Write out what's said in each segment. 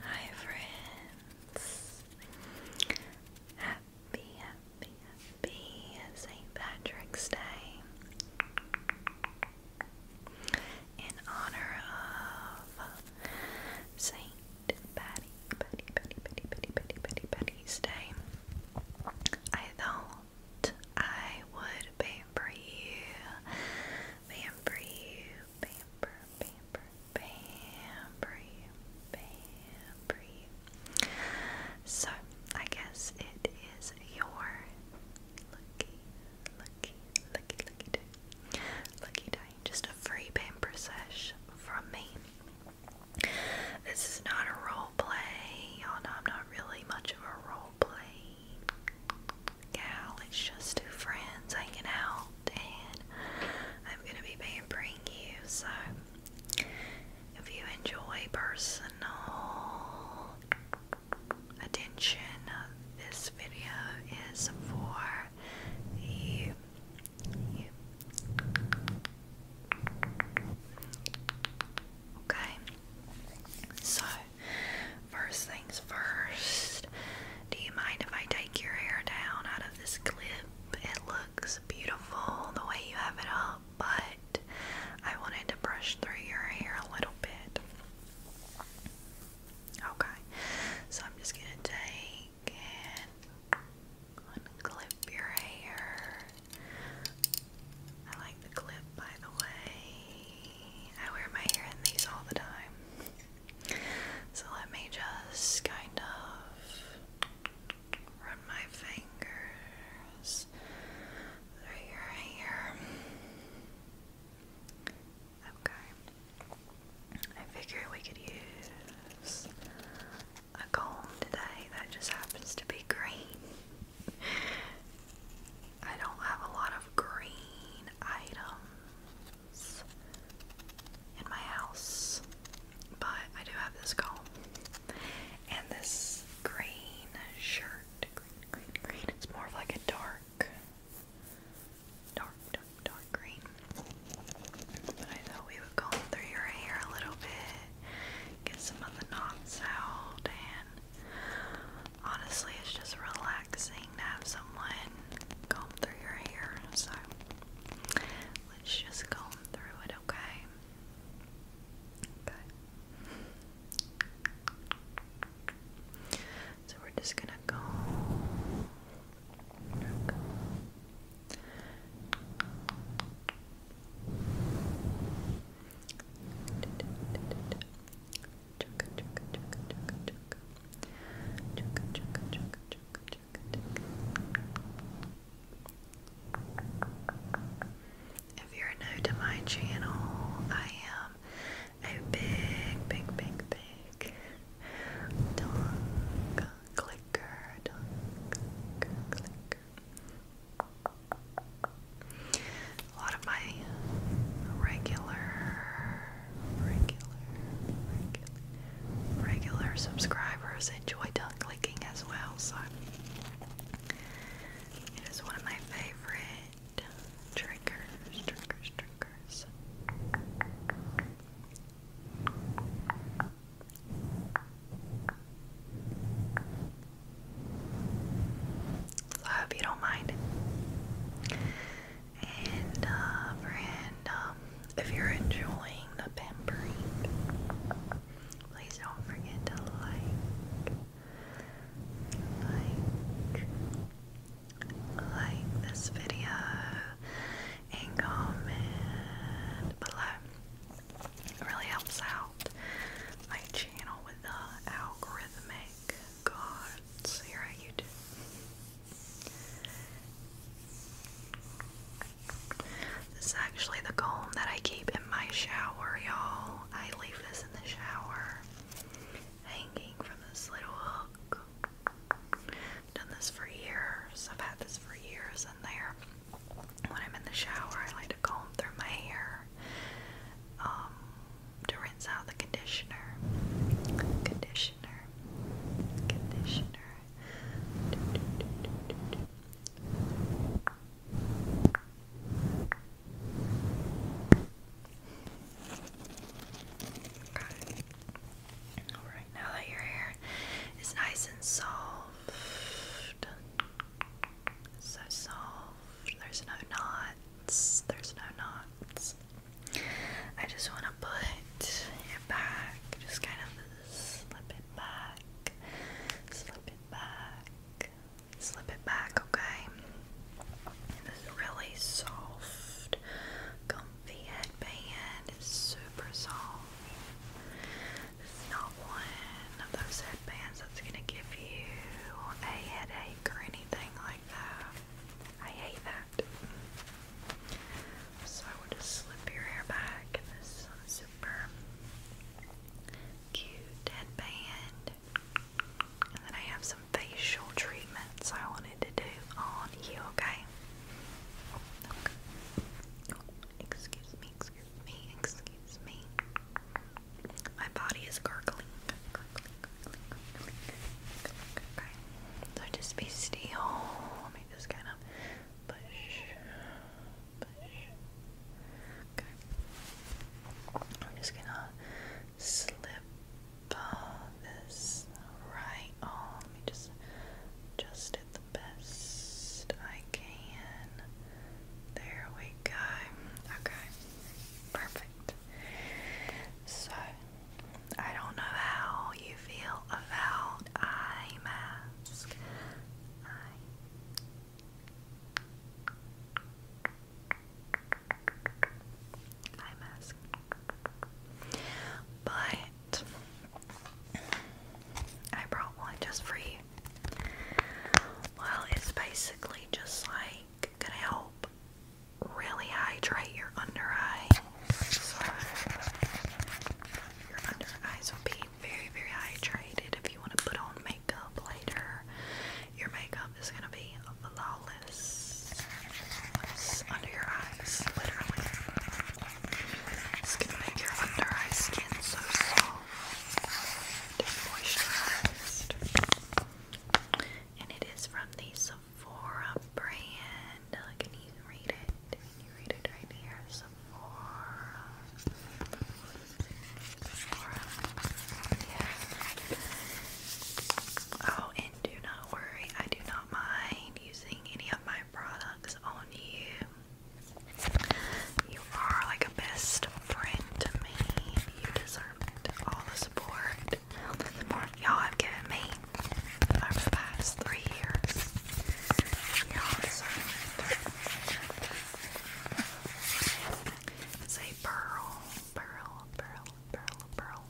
Hi friends! Happy, happy, happy St. Patrick's Day in honor of St. Patty, Patty, Patty, Patty, Patty, Patty, Patty, Patty's Day. I thought I would pamper you, pamper you, pamper, pamper, pamper pamper So I guess it is your lucky, lucky, lucky, lucky lucky day. Just a free pamper sesh from me. This is not a role play, y'all know I'm not really much of a role gal. It's just two friends hanging out, and I'm going to be pampering you. So, if you enjoy personal attention, uh, this video is for you. you. Okay. So, first things first, do you mind if I take your hair down out of this clip? It looks beautiful the way you have it up, but I wanted to brush through your hair a little bit. Okay, so I'm just gonna take and unclip your hair I like the clip, by the way. I wear my hair in these all the time. So let me just kind of run my fingers through your hair. Okay. I figure we could use a comb today that just happens to be green. I don't have a lot of green items in my house, but I do have this comb and this green shirt. It's more of like a dark, dark, dark, dark green. I thought we would comb through your hair a little bit get some of the knots out, and honestly, it's just relaxing to have someone comb through your hair. So let's just comb through it, okay? Okay. So we're just gonna go. If you're new to my channel, I am a big, big, big, big tongue clicker, tongue back. A lot of my regular, regular, regular subscribers enjoy tongue clicking as well, so it is one of my favorite triggers, triggers, triggers. So I hope you don't mind. And uh, um, if you're enjoying the pampering, please don't forget to like, like, like this video and comment below it really helps out my channel with the algorithmic gods here at YouTube. This is actually the comb that I keep in my shower, y'all. I leave this in the shower, hanging from this little hook. done this for years. I've had this for years in there when I'm in the shower, I like to comb through my hair um, to rinse out the conditioner. Conditioner. Conditioner. Alright, now that your hair is nice and soft, so soft. There's no knots. There's no knots. I just want to put it back. Just kind of slip it back. Slip it back. Slip it back, okay? And this really soft, comfy headband. It's super soft. This not one of those headbands that's gonna give you a headache or anything like that. I hate that. So I will just slip your hair back. This super cute headband. And then I have some facial treatments I wanted to do on you, okay. Excuse me, excuse me, excuse me. My body is gurgling. Okay. So just be still. Let me just kind of push. Push. Okay. I'm just gonna slip this right on. Let me just just the best I can. There we go. Okay. Perfect. So, I don't know how you feel about eye mask. Eye. mask. But I brought one just for Well, it's basically just like gonna help really hydrate your under eye. So your under eyes will be very, very hydrated. If you want to put on makeup later, your makeup is gonna be flawless. under your eyes, literally. It's gonna make your under eye skin so soft and moisturized. And it is from the Sephora brand. Can you read it? Can you read it right here? Sephora. Oh, and do not worry, I do not mind using any of my products on you. You are like a best friend to me. You deserve All the support, all the support y'all have given me over the past three years. Y'all deserve it. It's pearl, pearl, pearl, pearl, pearl,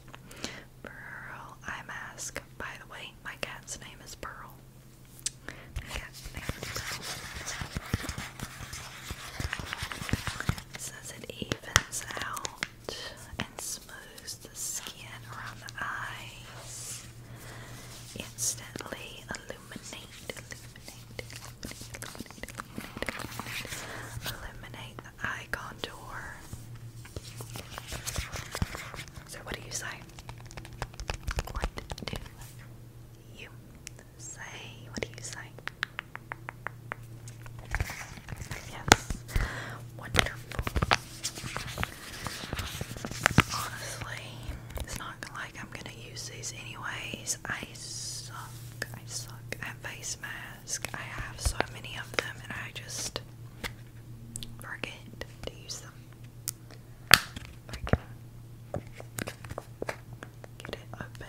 pearl eye mask. By the way, my cat's name is Pearl. Says it evens out and smooths the skin around the eyes. Instantly illuminate, illuminate, illuminate, the eye contour. So, what do you say? What do you say? What do you say? Yes, wonderful. Honestly, it's not like I'm gonna use these anyways. I suck. I suck at face masks. I have so many of them, and I just forget to use them. Okay. get it open.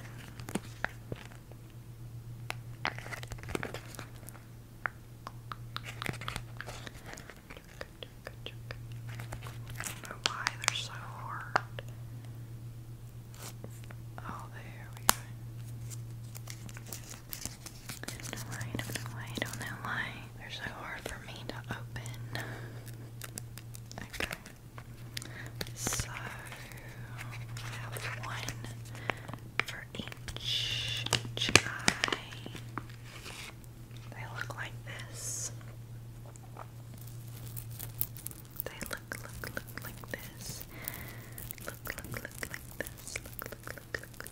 why they're so hard. Oh, there we go don't know don't know don't know They're so hard for me to open. Okay. So, I have one for each, each eye. They look like this. They look, look, look like this. Look, look, look like this. Look, look, look, look,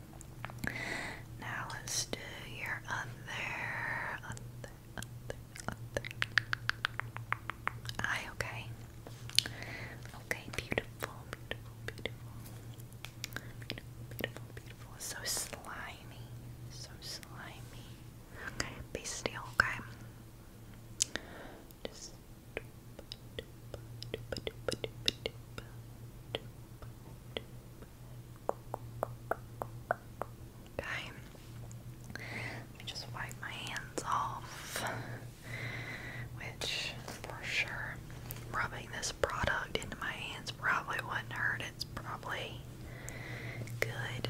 Now let's do your other, other, other, other eye, okay? Okay, beautiful, beautiful, beautiful. Beautiful, beautiful, beautiful. So slimy, so slimy. Okay, be still, okay? Okay, let me just wipe my hands off. Which, for sure, rubbing this product into my hands probably wouldn't hurt. It's probably good.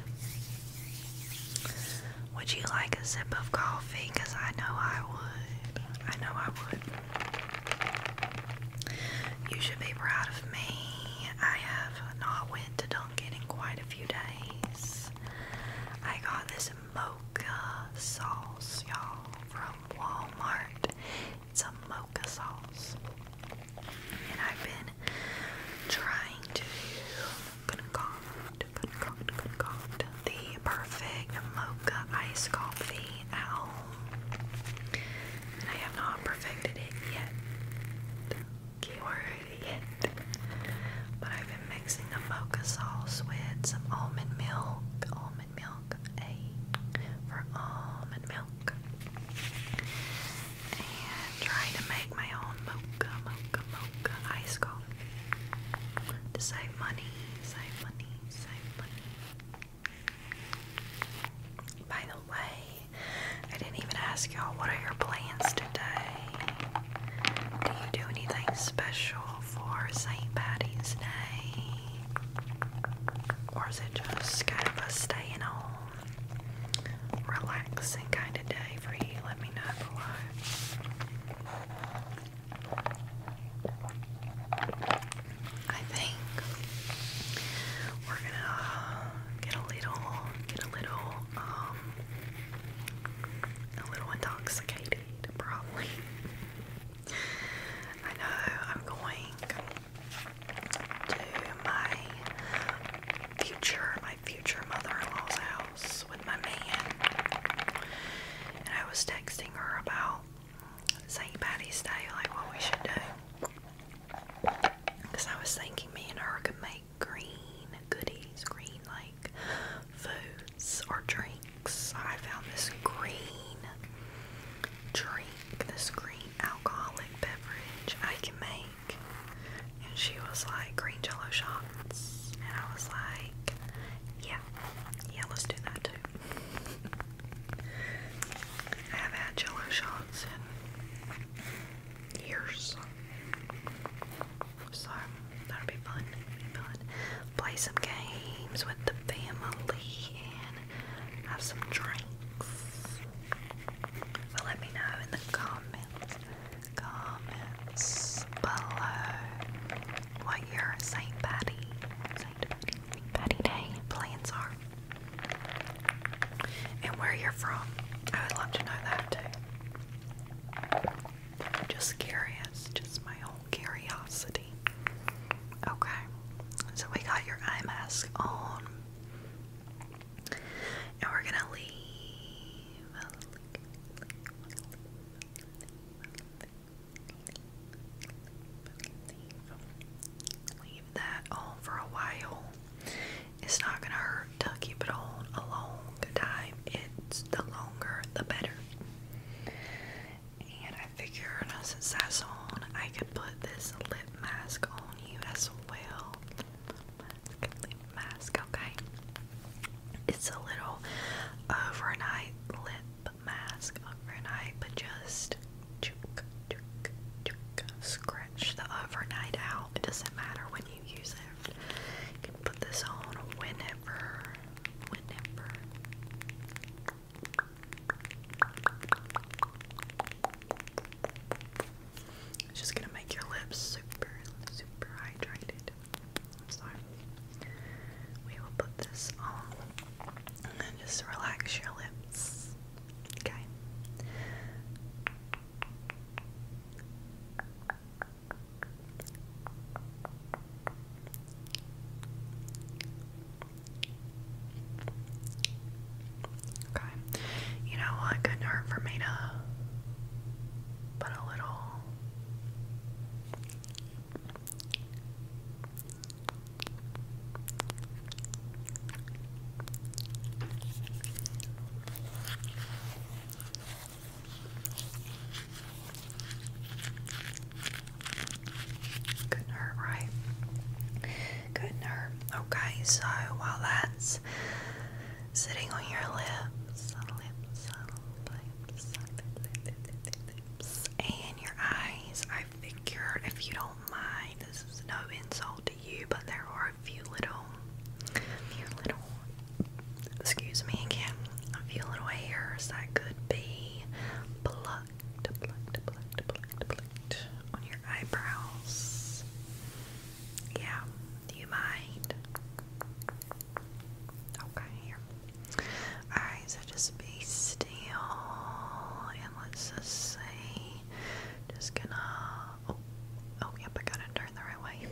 Would you like a sip of coffee? Because I know I would. I know I would. You should be proud of me. I have not went to Dunkin' in quite a few days. I got this mocha sauce, y'all, from Walmart. It's a mocha sauce. And I've been trying to concoct, concoct, concoct the perfect mocha iced coffee at home. And I have not perfected it yet. Keyword yet. But I've been mixing a mocha sauce with some almond milk. Almond milk. A for almond milk. And trying to make my own mocha, mocha, mocha iced coffee save money, save money, save money. By the way, I didn't even ask y'all what are your plans today? Do you do anything special for St. Patty's Day? Or is it just kind of a staying home, relaxing kind of day for you? Let me know I think we're gonna uh, get a little, get a little, um, a little intoxicated, probably. I know I'm going to my future, my future mother-in-law's house with my man, and I was texting her about St. Patty's Day, like what we should do, because I was thinking me and her could make green goodies, green like foods or drinks. I found this green drink, this green alcoholic beverage I can make. And she was like, green jello shots. And I was like, yeah, yeah, let's do that too. I have had jello shots in years. So that'll be fun. fun. Play some games with the family and have some drinks. But let me know in the comments. Comments below what your Saint Patty, Saint Patty Day plans are, and where you're from. I would love to know that too. Just curious, just my old curiosity. Okay, so we got your eye mask on, and we're gonna leave, Leave that on for a while. It's not gonna hurt to keep it on a long time. It's the longer the better. And I figure, since that's on, I could put this lip mask on you as well. lip mask, okay? It's a little overnight uh, lip mask, overnight, but just scratch the overnight uh, out. It doesn't matter when you use it. You can put this on whenever, whenever. It's just gonna make your lips super, super hydrated. So we will put this on and just relax your lips. Okay. Okay. You know what? Couldn't hurt for me to but a little couldn't hurt, right? Couldn't hurt. Okay, so while that's sitting on your lips, lips, lips, lips, and your eyes. I figured if you don't mind, this is no insult to you, but there are a few little, few little, excuse me again, a few little hairs that could be plucked, plucked, plucked, plucked, plucked on your eyebrows. Yeah, do you mind? Okay. Alright, so just be still and let's just say just gonna oh, oh yep I gotta turn the right way.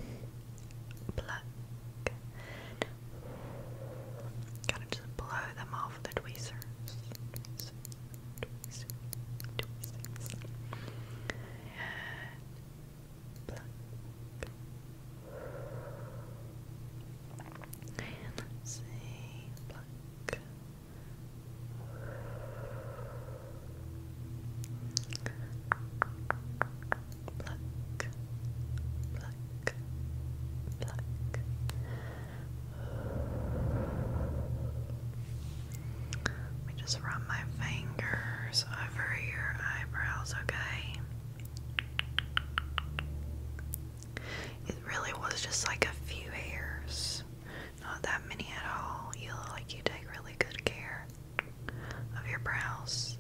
Pluck. Gotta just blow them off the Tweezers black. And let's see, black. Black, black, black. Let me just run my fingers over your eyebrows, okay? It really was just like a few hairs. Not that many at all. You look like you take really good care of your brows.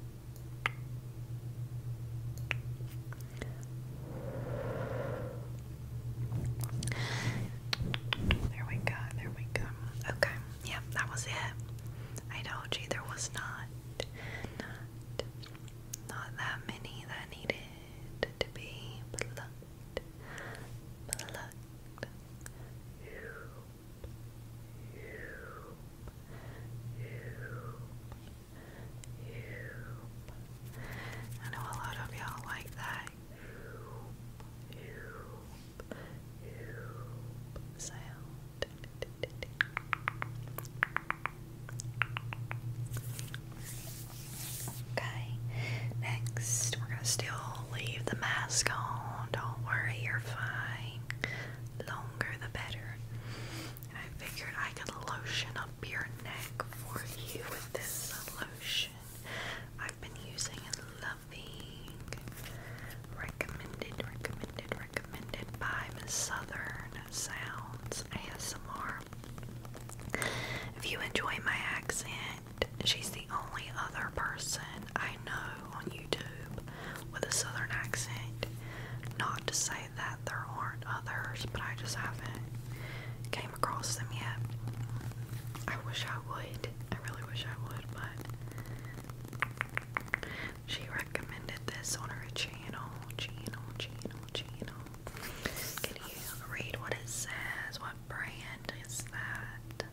There we go, there we go. Okay yeah, that was it. I told you there was not, not that many that needed to be plucked, plucked. I know a lot of y'all like that. Okay, next we're gonna still leave the mask on. Don't worry, you're fine. Longer the better. I figured I could lotion up your neck for you with this lotion. I've been using nothing. Recommended, recommended, recommended by Southern Sounds ASMR. If you enjoy my accent, she's the only other person I know on YouTube with a Southern accent. Not to say that there aren't others, but I just haven't came across them yet. I wish I would. I really wish I would, but she recommended this on her channel. Channel, channel, channel. Can you read what it says? What brand is that?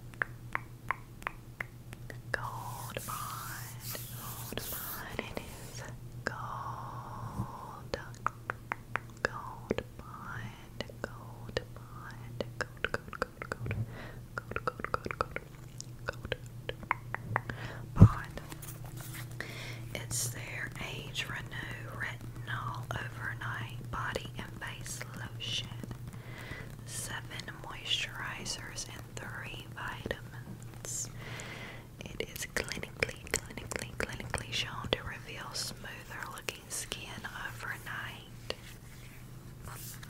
Gold Bond. Gold Bond. It is gold. Gold Bond. Gold Bond. Gold, gold, code, It's their Age Renew Retinol Overnight Body and Face Lotion. Seven moisturizers and three vitamins. It is clinically, clinically, clinically shown to reveal smoother looking skin overnight.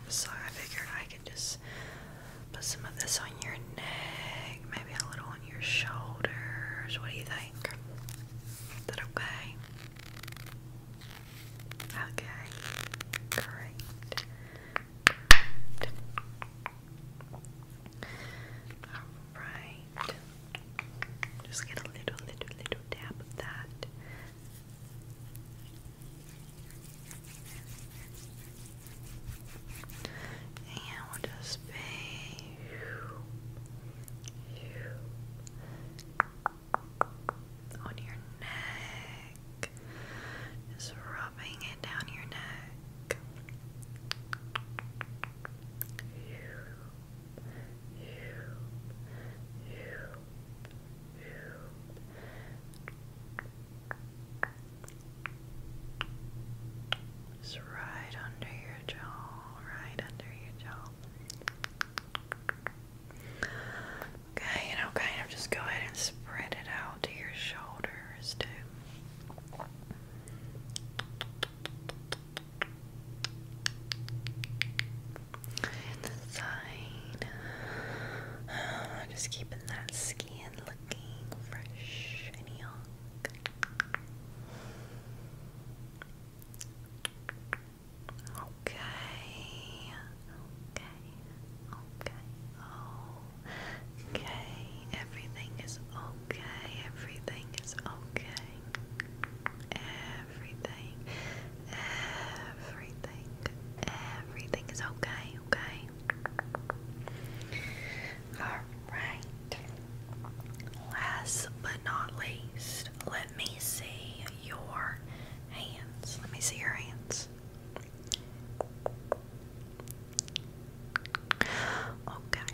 So I figured I could just put some of this on your neck, maybe a little on your shoulders. What do you think? Is that okay? Okay. Great. Alright. Just get a little, little, little dab of that. And we'll just be on your neck, just rubbing it down your neck. You, you, you. Just right under your jaw, right under your jaw. Okay, you know, kind of just go ahead and spread it out to your shoulders too. And the just keeping that skin looking fresh and young. Okay. Okay. Okay. Okay. Everything is okay. Everything is okay. Everything, everything, everything is okay, okay? Alright. Last but not least, let me see your hands. Let me see your hands. Okay.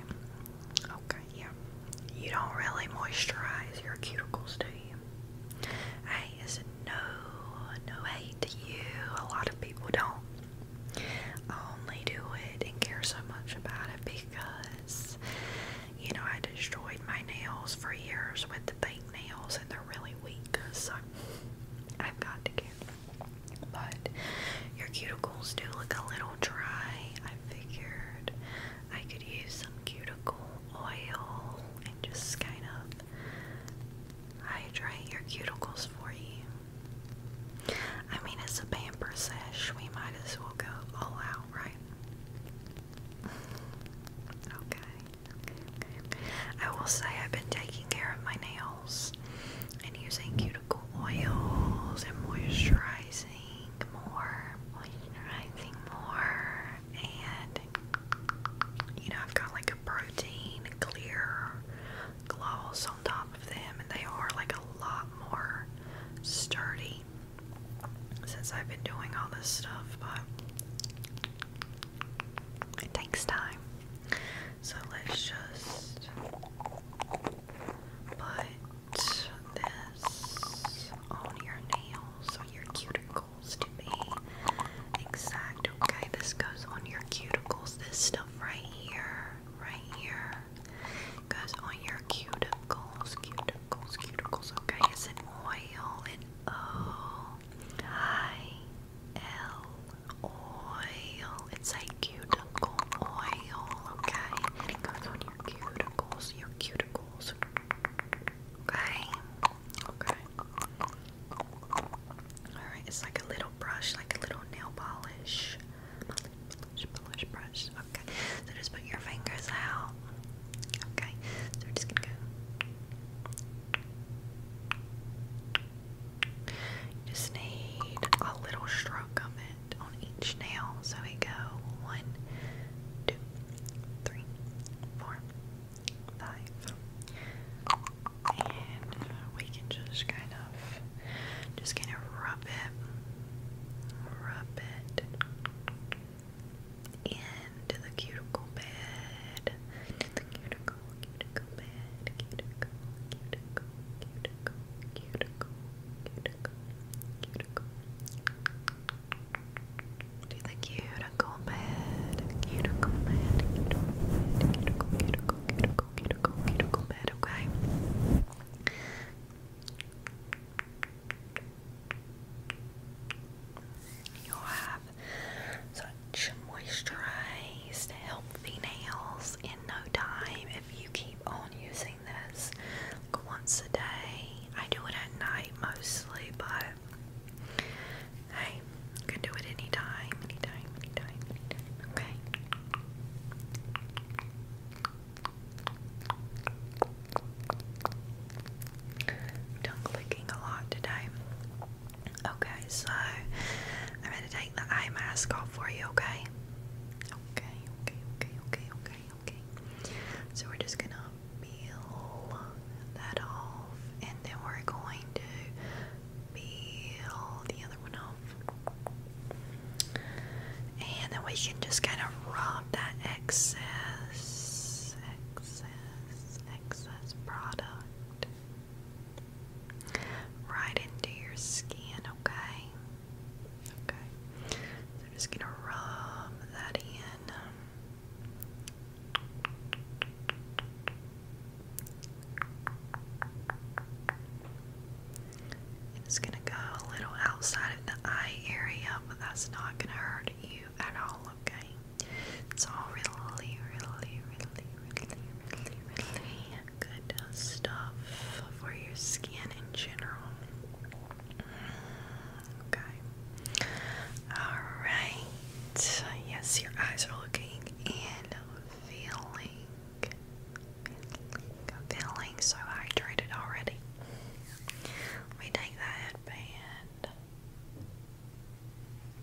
Okay, yeah. You don't really moisturize your cuticles, do you? Hey, it's no, no hate to you. A lot of people don't I only do it and care so much about it because, you know, I destroyed my nails for years with the fake nails and they're really weak, so I've got to care. But your cuticles do look a little dry. I figured I could use some cuticle oil and just kind of hydrate your cuticles for you. I mean, it's a pamper sesh. We might as well go all out, right? okay. I will say I've been taking care of my nails and using cuticle oils and moisturizing more, moisturizing more, and you know I've got like a protein clear gloss on top of them and they are like a lot more sturdy since I've been doing all this stuff but it takes time so let's just put this on your nails on your cuticle Okay, this goes on your cuticles. This stuff right here, right here, goes on your cuticles, cuticles, cuticles. Okay, it's an oil, an O oh, I L oil. It's a cuticle oil. Okay, it goes on your cuticles, your cuticles. Okay. Okay. Alright, it's like a little brush, like a little nail polish. Polish, brush. Okay. So just put your fingers out. Okay. So we're just gonna just need a little stroke of it on each nail. So we go one, two, three, four, five. And uh, we can just kind of, just kind of rub it, rub it into the cuticle bed, into the cuticle, cuticle bed, cuticle, cuticle, cuticle, cuticle, cuticle, cuticle. Do the cuticle bed, cuticle bed, cuticle bed, cuticle, cuticle, cuticle, cuticle, cuticle bed, okay? You'll have such moisturized, healthy nails in no time if you keep on using once a day. I do it at night mostly, but hey, can do it anytime, anytime, anytime, anytime, okay? done clicking a lot today. Okay, so I'm gonna take the eye mask off for you, Okay, okay, okay, okay, okay okay? So we're just gonna peel that off, and then we're going to peel the other one off. And then we can just kind of rub that excess, excess, excess product right into your skin, okay? Okay, I'm just gonna rub that in. It's gonna go a little outside of the eye area, but that's not gonna hurt you at all, okay? It's all really, really, really, really, really, really good stuff for your skin in general. Okay. Alright. Yes, your eyes are looking and feeling. Feeling so hydrated already. Let me take that headband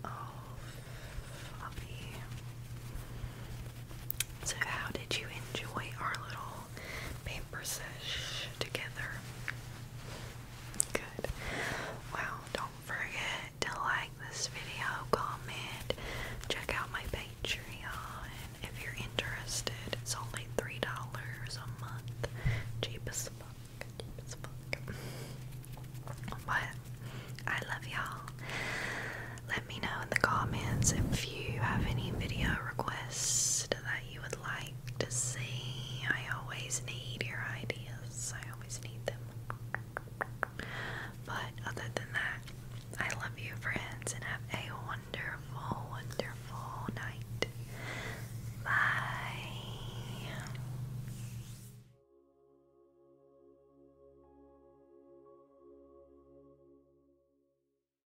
off of So, how did you enjoy our little paper sesh together. Good. Well, don't forget to like this video, comment, check out my Patreon if you're interested. It's only $3 a month. Cheap fuck. But I love y'all. Let me know in the comments if you have any video requests that you would like to see. I always need your ideas. I always need them. But other than that, I love you, friends, and have a wonderful, wonderful night. Bye.